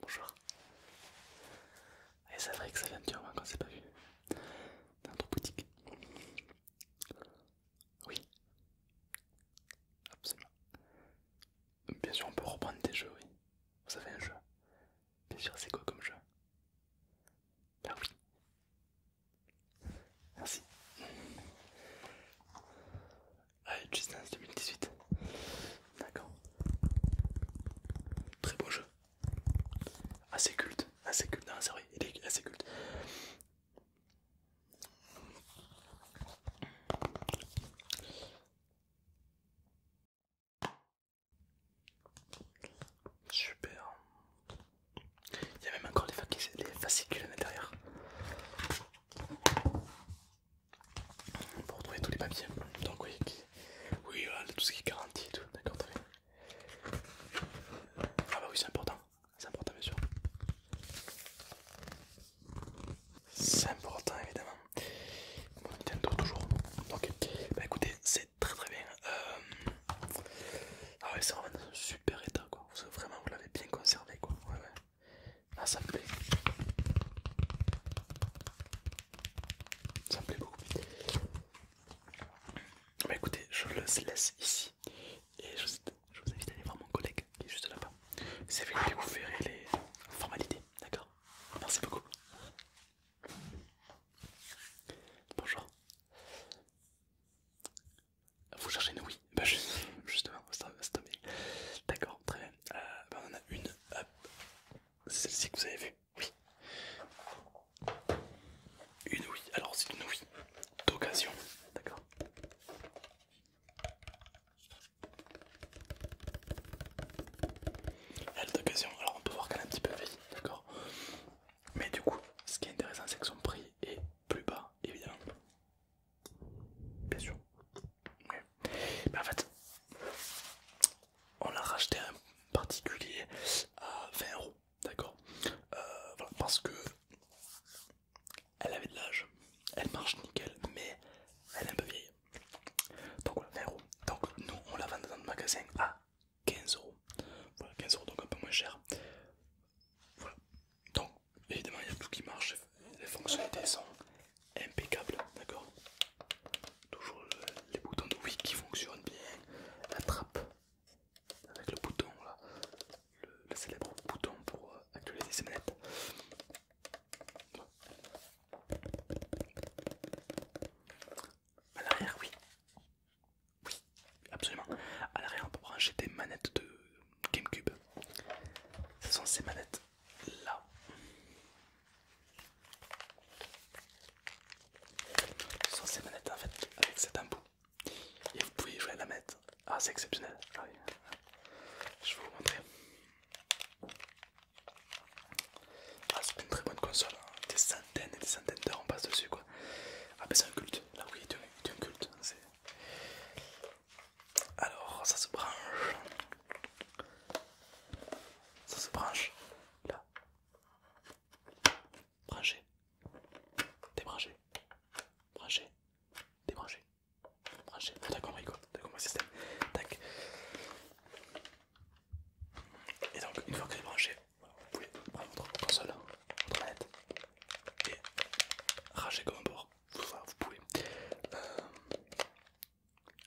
Bonjour. Et c'est vrai que ça vient un petit moment qu'on s'est pas vu. Dans notre boutique. Oui. Absolument. Bien sûr, on peut reprendre des jeux, oui. Vous avez un jeu. Bien sûr, c'est quoi comme jeu Ah oui. Merci. Ah, Just 2018. D'accord. Très beau jeu. Assez culte, assez culte, non c'est vrai, il est assez culte. Super. Il y a même encore les fascicules à l'intérieur. Pour retrouver tous les papiers. Donc oui, tout ce qui est garanti tout, d'accord, très bien. Ah bah oui, c'est important, c'est important bien sûr. C'est important évidemment. Mon tient toujours. Donc, bah écoutez, c'est très très bien. Euh, ah ouais, c'est vraiment dans un super état quoi. Vous, vraiment, vous l'avez bien conservé quoi. Ouais, ouais. Ah, ça me plaît ça me plaît beaucoup. Mais bah, écoutez, je le laisse ici et je, vous invite à aller voir mon collègue qui est juste là-bas. Vous savez qui vous verrez les formalités, d'accord Merci beaucoup. Bonjour. Vous cherchez une oui Bah justement, c'est D'accord, très bien. Euh, bah, on en a une, celle-ci que vous avez vue. Oui. Une oui Alors c'est une oui d'occasion. D'accord. Elle est d'occasion. Alors on peut voir qu'elle est un petit peu vieille. D'accord. Mais du coup, ce qui est intéressant, c'est que son prix est plus bas, évidemment. Bien sûr. Oui. Mais en fait, on l'a racheté un particulier à 20 d'accord euh, voilà, Parce que elle avait de l'âge, elle marche nickel, mais elle est un peu vieille. Donc voilà, 20 Donc nous, on la vend dans le magasin à 15 euros. Voilà, 15 euros, donc un peu moins cher. Voilà, donc évidemment, il y a tout qui marche, les fonctionnalités sont impeccables, d'accord Toujours les boutons de oui qui fonctionnent bien. La trappe avec le bouton là, le, célèbre bouton pour euh, actualiser ses manettes. À l'arrière, oui. Oui, absolument. À l'arrière, on peut brancher des manettes de GameCube. Ce sont ces manettes là. Ce sont ces manettes en fait avec cet embout et vous pouvez jouer à la mettre Ah c'est exceptionnel. Ah Je vais vous montrer. Ah c'est une très bonne console. Hein. Des centaines et des centaines d'heures on passe dessus quoi. Ah ben c'est un culte. Là ah oui c'est un culte. Hein, Alors ça se branche. Ça se branche là brancher, Débranché. Branché. débranger, Branché. Ah, t'as compris quoi T'as compris système Tac. Et donc, une fois vous est branché, vous pouvez prendre votre console, votre manette et rager comme un porc. Vous, pouvez. Euh,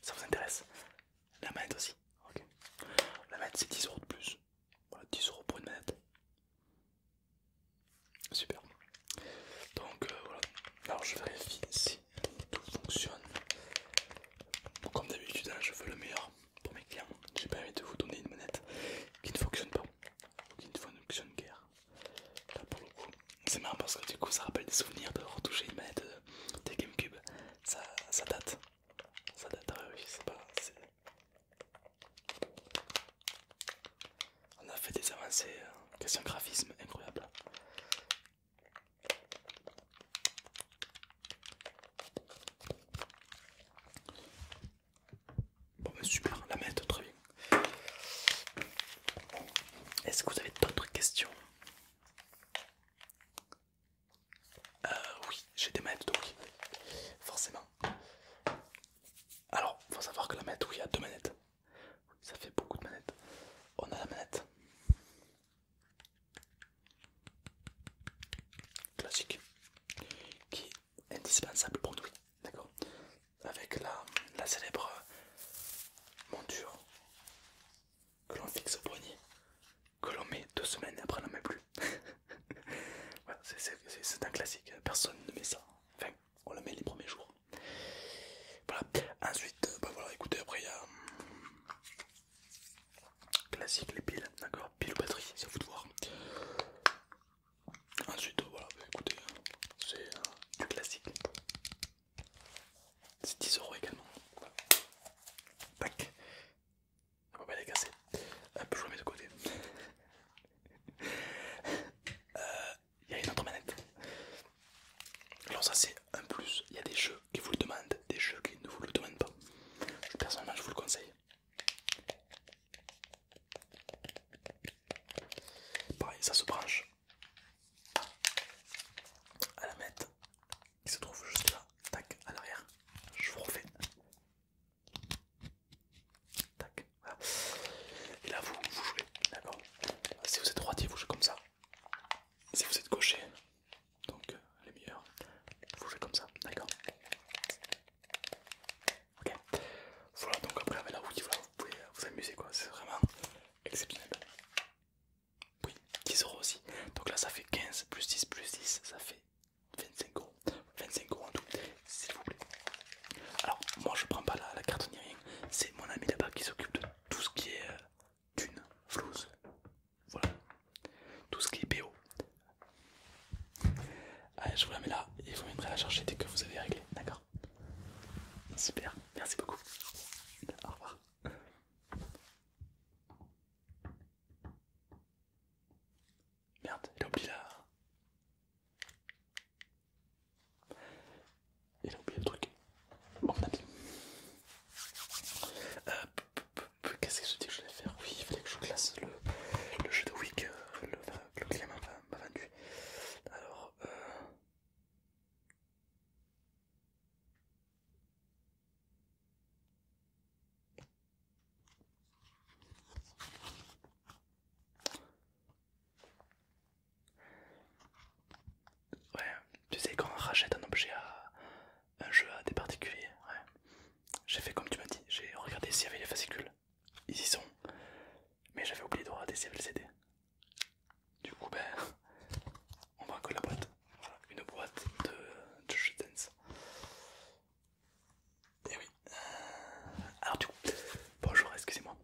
ça vous intéresse la manette aussi. ok La manette c'est 10 euros de plus. Voilà, 10 euros pour une manette. Super. Donc euh, voilà. Alors je vérifie si tout fonctionne. Comme d'habitude, hein, je veux le meilleur pour mes clients. J'ai pas envie de vous donner une manette qui ne fonctionne pas. Ou qui ne fonctionne guère. C'est marrant parce que du coup ça rappelle des souvenirs de retoucher une manette euh, des GameCube. Ça, ça date ça date, pas. On a fait des avancées, hein. question graphisme incroyable. Bon, mais ben, super, la mettre très bien. Est-ce que vous avez d'autres questions euh, oui, j'ai des manettes donc, forcément. Alors, faut savoir que la manette, oui, il y a deux manettes. Ça fait beaucoup de manettes. On a la manette classique qui est indispensable pour nous, d'accord Avec la, la célèbre monture que l'on fixe au poignet, que l'on met deux semaines et après on n'en met plus. voilà, c'est un classique, personne ne met ça. Enfin, on le met les premiers jours. Voilà, ensuite, euh, bah voilà, écoutez, après il y a hum, classique les piles, d'accord, pile ou batterie, c'est à vous de voir. Ensuite, euh, voilà, bah écoutez, c'est euh, du classique. C'est 10 euros également. Tac, on va les casser. je mettre de côté. Euh, il y a une autre manette. Alors ça c'est un plus. Il y a des jeux qui vous le demandent, des jeux qui ne vous le demandent pas. Personnellement je vous le conseille. Pareil, ça se branche à la mettre qui se trouve juste là, tac, à l'arrière. Je vous refais. Tac, voilà. Et là, vous, vous jouez, d'accord Si vous êtes droitier, vous jouez comme ça. Si vous êtes gaucher, donc euh, les meilleurs, vous jouez comme ça, d'accord Ok. Voilà, donc après, avec vous pouvez euh, vous amuser, quoi. C'est vraiment exceptionnel. Oui, 10 euros aussi. Donc là, ça fait 15 plus 10 plus 10, ça fait 25€ 25 euros. en tout, s'il vous plaît. Alors, moi je prends pas la, carte ni rien, c'est mon ami là-bas qui s'occupe de tout ce qui est dune, euh, thune, voilà, tout ce qui est PO. Ah, je vous la mets là et vous viendrez la chercher dès que vous avez réglé, d'accord Super, merci beaucoup. Au revoir. Merde, il a oublié la... Il a oublié le truc. Bon, on a Euh, Qu'est-ce que je dis que je vais faire Oui, il fallait que je classe le, le jeu de Wick. Euh, le, climat enfin. m'a vendu. Alors... Euh... Ouais, tu sais quand on rachète un objet à un jeu à des particuliers, ouais. J'ai fait comme tu m'as dit, j'ai regardé s'il y avait les fascicules. Ils y sont. Mais j'avais oublié de regarder s'il y avait le CD. Du coup ben on va que la boîte. Voilà, une boîte de, jeu dance. Et oui. Euh, alors du coup, bonjour, excusez-moi.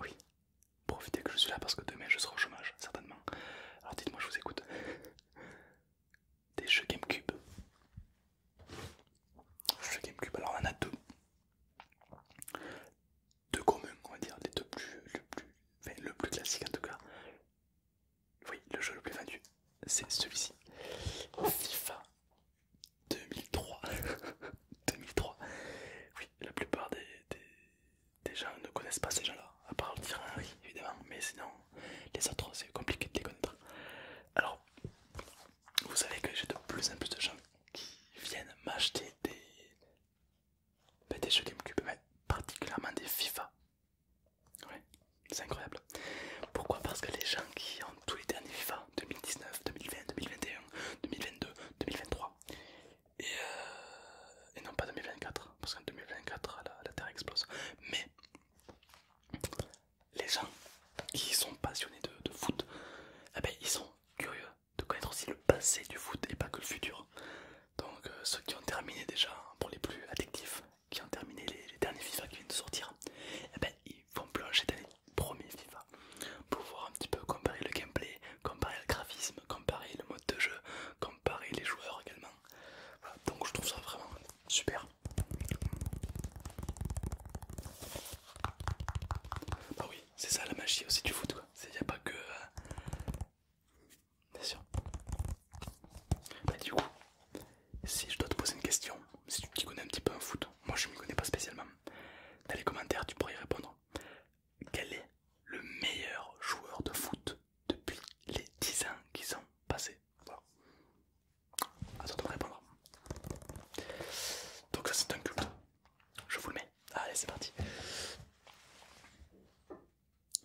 Oui, profitez que je suis là parce que demain je serai au chômage, certainement. Alors dites-moi, je vous écoute. Des jeux GameCube. Jeux GameCube, alors on en a deux. Deux communs, on va dire, les deux plus, le plus, enfin, le plus classique en tout cas. Oui, le jeu le plus vendu, c'est celui-ci. FIFA 2003. 2003. Oui, la plupart des, gens ne connaissent pas ces gens-là, à part le tir évidemment, mais sinon les autres c'est compliqué de les connaître. Alors, vous savez que j'ai de plus en plus de gens qui viennent m'acheter des, ben, des jeux GameCube, mais particulièrement des FIFA. Ouais, c'est incroyable. Pourquoi Parce que les gens qui ont tous les derniers FIFA 2019, 2020, 2021, 2022, 2023 et, non pas 2024, parce qu'en 2024 la, Terre explose. Mais les gens qui sont passionnés de, foot, eh ben, ils sont curieux de connaître aussi le passé du foot et pas que le futur. Donc euh, ceux qui ont terminé déjà pour les plus addictifs, qui ont terminé les, derniers FIFA qui viennent de sortir, et eh ben, ils vont plonger dans les premiers FIFA pour voir un petit peu comparer le gameplay, comparer le graphisme, comparer le mode de jeu, comparer les joueurs également. donc je trouve ça vraiment super. Bah oui, c'est ça la magie aussi du foot quoi. Il a pas que... Euh, Bien sûr. Bah, du coup, si je dois te poser une question, si tu connais un petit peu un foot, moi je m'y connais pas spécialement, dans les commentaires tu pourrais y répondre. Quel est le meilleur joueur de foot depuis les 10 ans qui sont passés attends toi de répondre. Donc ça c'est un culte. Je vous le mets. Allez c'est parti.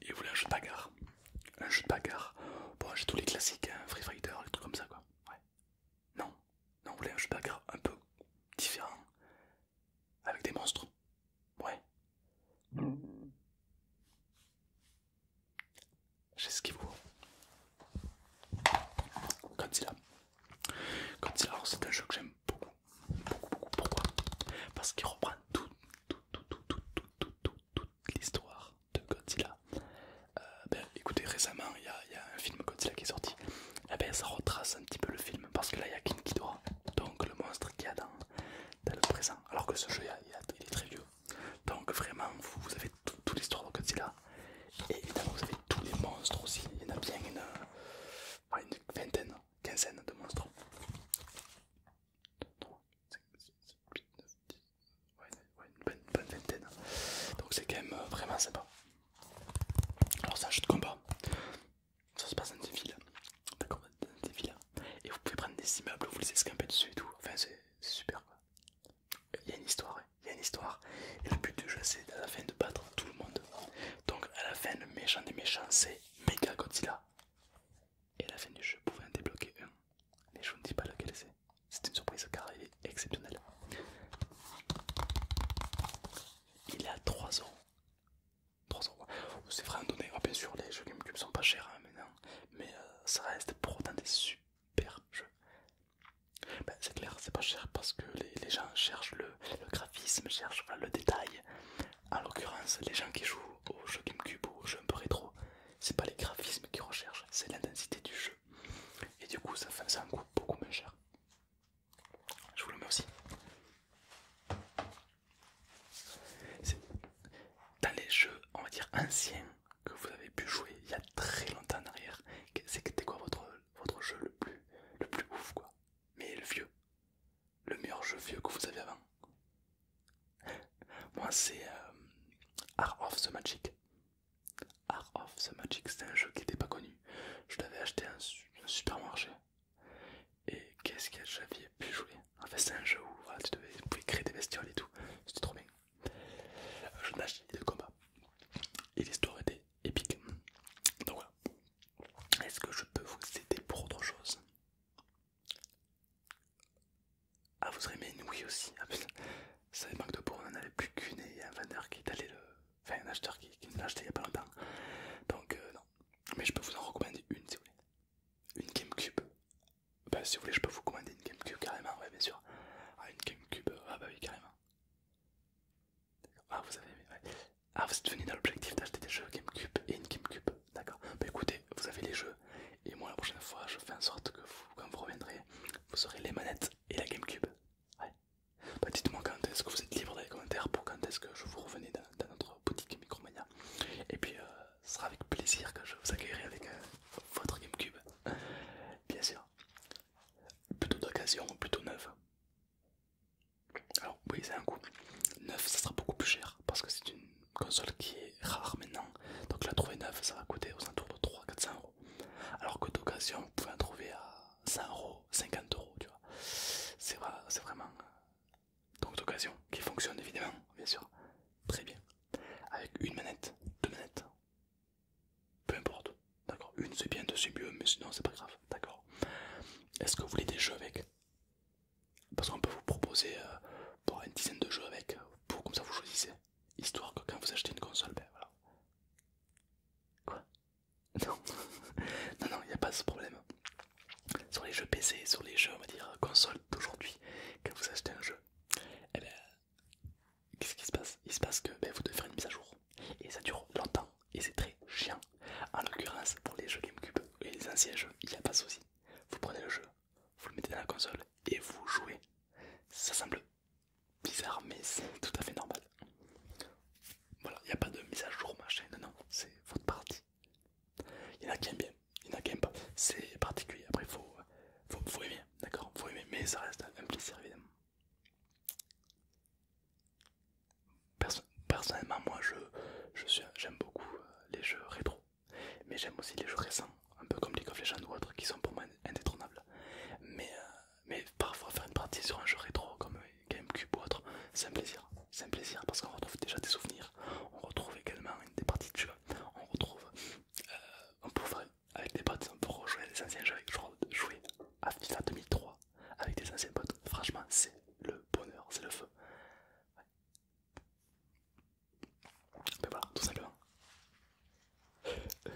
Et vous voulez un jeu de bagarre Un jeu de bagarre Bon, j'ai tous les classiques, hein, Free Fighter, les trucs comme ça quoi. Ouais. Non, non, vous voulez un jeu de bagarre un peu différent Avec des monstres Ouais. J'ai ce qu'il vous. Godzilla. Godzilla, c'est un jeu que j'aime beaucoup. Beaucoup, Pourquoi Parce qu'il reprend tout, tout, tout, tout, tout, tout, tout, l'histoire de Godzilla. Euh, ben, écoutez, récemment, il y, a un film Godzilla qui est sorti. Et eh ben, ça retrace un petit peu le film parce que là, il y a King Ghidorah, donc le monstre qui y a dans, le présent. Alors que ce jeu, il est très vieux. Donc vraiment, vous, avez toute l'histoire de Godzilla. Et évidemment, vous avez tous les monstres aussi. Il y en a bien une, vingtaine, quinzaine de monstres. 5, 6, 7, 8, 9, 10, ouais, ouais une bonne, bonne vingtaine. Donc c'est quand même vraiment sympa. Alors ça, jeu de combat, ça se passe dans des villes, d'accord, dans des villes, et vous pouvez prendre des immeubles, vous les escamper dessus et tout, enfin c'est super quoi. Il y a une histoire, il y a une histoire, et le but du jeu c'est à la fin de battre tout le monde. Donc à la fin, le méchant des méchants c'est Mega Godzilla. Et à la fin du jeu, pouvait en débloquer un. Mais je ne dis pas lequel c'est. C'est une surprise car il est exceptionnel. Il est à 3 euros. 3 C'est vrai, donné. Ah, bien sûr, les jeux GameCube sont pas chers hein, maintenant. Mais euh, ça reste pour autant des super jeux. Ben, c'est clair, c'est pas cher parce que les, gens cherchent le, graphisme, cherchent le détail. En l'occurrence, les gens qui jouent aux oh, jeux GameCube ou oh, au jeu un peu rétro, c'est pas les graphismes qui recherchent, c'est l'intensité du jeu. Et du coup, ça en coûte beaucoup moins cher. Je vous le mets aussi. Dans les jeux, on va dire anciens, que vous avez pu jouer il y a très longtemps en arrière, c'était quoi votre, votre jeu le plus, le plus ouf quoi Mais le vieux, le meilleur jeu vieux que vous avez avant moi c'est euh, Art of the Magic. Art of the Magic, c'est un jeu qui n'était pas connu. Je l'avais acheté à un, supermarché. Et qu'est-ce que j'avais pu jouer En fait, c'est un jeu où tu, pouvais créer des bestioles et tout. C'était trop bien. je n'ai de combat. Et l'histoire était épique. Donc voilà. Est-ce que je peux vous aider pour autre chose ah, vous aurez aimé une Wii aussi. Ah, putain. Ça manque de peau, on n'en avait plus qu'une et un vendeur qui est allé le. Enfin, un acheteur qui, qui l'a acheté il y a pas longtemps. Donc, euh, non. Mais je peux vous en recommander une si vous voulez. Une Gamecube. Bah, si vous voulez, je peux vous commander une Gamecube carrément, ouais, bien sûr. Ah, une Gamecube, euh, ah, bah oui, carrément. Ah, vous avez aimé, Ah, vous êtes venu dans l'objectif d'acheter des jeux Gamecube et une Gamecube d'accord Bah écoutez, vous avez les jeux, et moi la prochaine fois je fais en sorte que vous, quand vous reviendrez, vous aurez les manettes et la Gamecube. Ouais. Bah, dites-moi quand est-ce que vous êtes libre dans les commentaires pour quand est-ce que je vous revenez dans, notre boutique Micromania. Et puis euh, ce sera avec plaisir que je vous accueillerai avec euh, votre Gamecube. Bien sûr. Plutôt d'occasion, plutôt neuf Alors oui, c'est un coup, Neuf, ça sera beaucoup plus cher parce que c'est une console qui est rare maintenant. Donc la trouver neuve, ça va coûter aux alentours de 300-400 euros. Alors que d'occasion, vous pouvez en trouver à 100 euros, 50 euros, tu vois. C'est vrai, vraiment. Euh, donc d'occasion, qui fonctionne évidemment, bien sûr, très bien. Avec une manette, deux manettes, peu importe. D'accord, une c'est bien, deux c'est mieux, mais sinon c'est pas grave. D'accord. Est-ce que vous voulez des jeux avec parce qu'on peut vous proposer euh, pour une dizaine de jeux avec, pour comme ça vous choisissez. Histoire que quand vous achetez une console, ben voilà. Quoi Non, non, non, il n'y a pas ce problème. Sur les jeux PC, sur les jeux, on va dire, console d'aujourd'hui, quand vous achetez un jeu, eh ben, qu'est-ce qui se passe Il se passe que ben, vous devez faire une mise à jour. Et ça dure longtemps, et c'est très chiant. En l'occurrence, pour les jeux GameCube et les anciens jeux, il n'y a pas de souci. Vous prenez le jeu, vous le mettez dans la console et vous jouez. Ça semble bizarre, mais c'est tout à fait normal. Voilà, il n'y a pas de mise à jour, machin, non, non, c'est votre partie. Il y en a qui aiment bien, il y en a qui n'aiment pas, c'est particulier. Après, il faut, faut, aimer, d'accord Vous mais ça reste un plaisir personnellement, moi je j'aime beaucoup euh, les jeux rétro. Mais j'aime aussi les jeux récents, un peu comme League of Legends ou autre, qui sont pour moi indétrônables. Mais, euh, mais parfois faire une partie sur un jeu rétro comme GameCube ou autre, c'est un plaisir. C'est un plaisir parce qu'on retrouve déjà des souvenirs, on retrouve également des parties de jeu, on retrouve. Euh, on peut avec des potes, on peut rejouer à des anciens jeux, jouer à FIFA 2003 avec des anciens potes. Franchement, c'est le bonheur, c'est le feu. Bah voilà, tout simplement.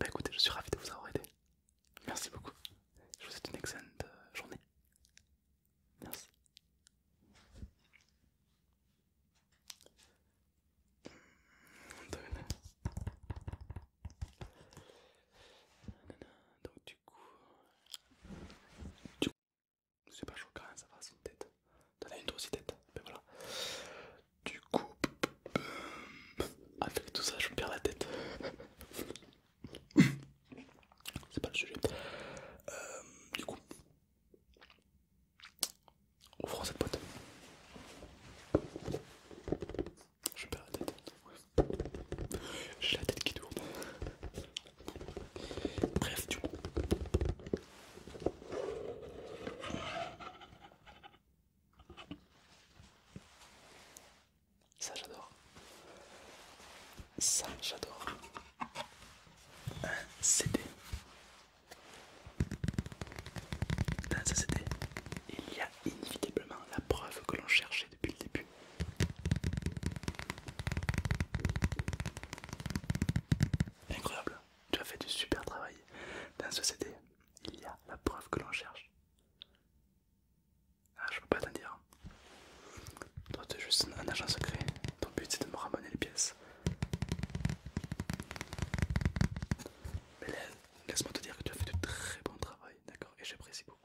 Bah écoutez, je suis ravi de vous avoir aidé. Merci beaucoup. Je vous souhaite une excellente euh, journée. Merci. Mmh, donc du coup... Du coup... C'est pas choquant, ça va, c'est une tête. T'en as une toi aussi tête, mais ben voilà. Du coup, avec tout ça, je perds la tête. c'est pas le sujet. Euh, du coup, ouvrons cette boîte. Je perds la tête. J'ai la tête qui tourne. Bref, du coup, ça j'adore. Ça j'adore. Un CD. Dans ce CD, il y a inévitablement la preuve que l'on cherchait depuis le début. Incroyable. Tu as fait du super travail. Dans ce CD, il y a la preuve que l'on cherche. Ah, je peux pas t'en dire. Hein. Toi, es juste un agent secret. Ton but, c'est de me ramener les pièces. Mais laisse-moi te dire que tu as fait du très bon travail, d'accord Et j'apprécie beaucoup.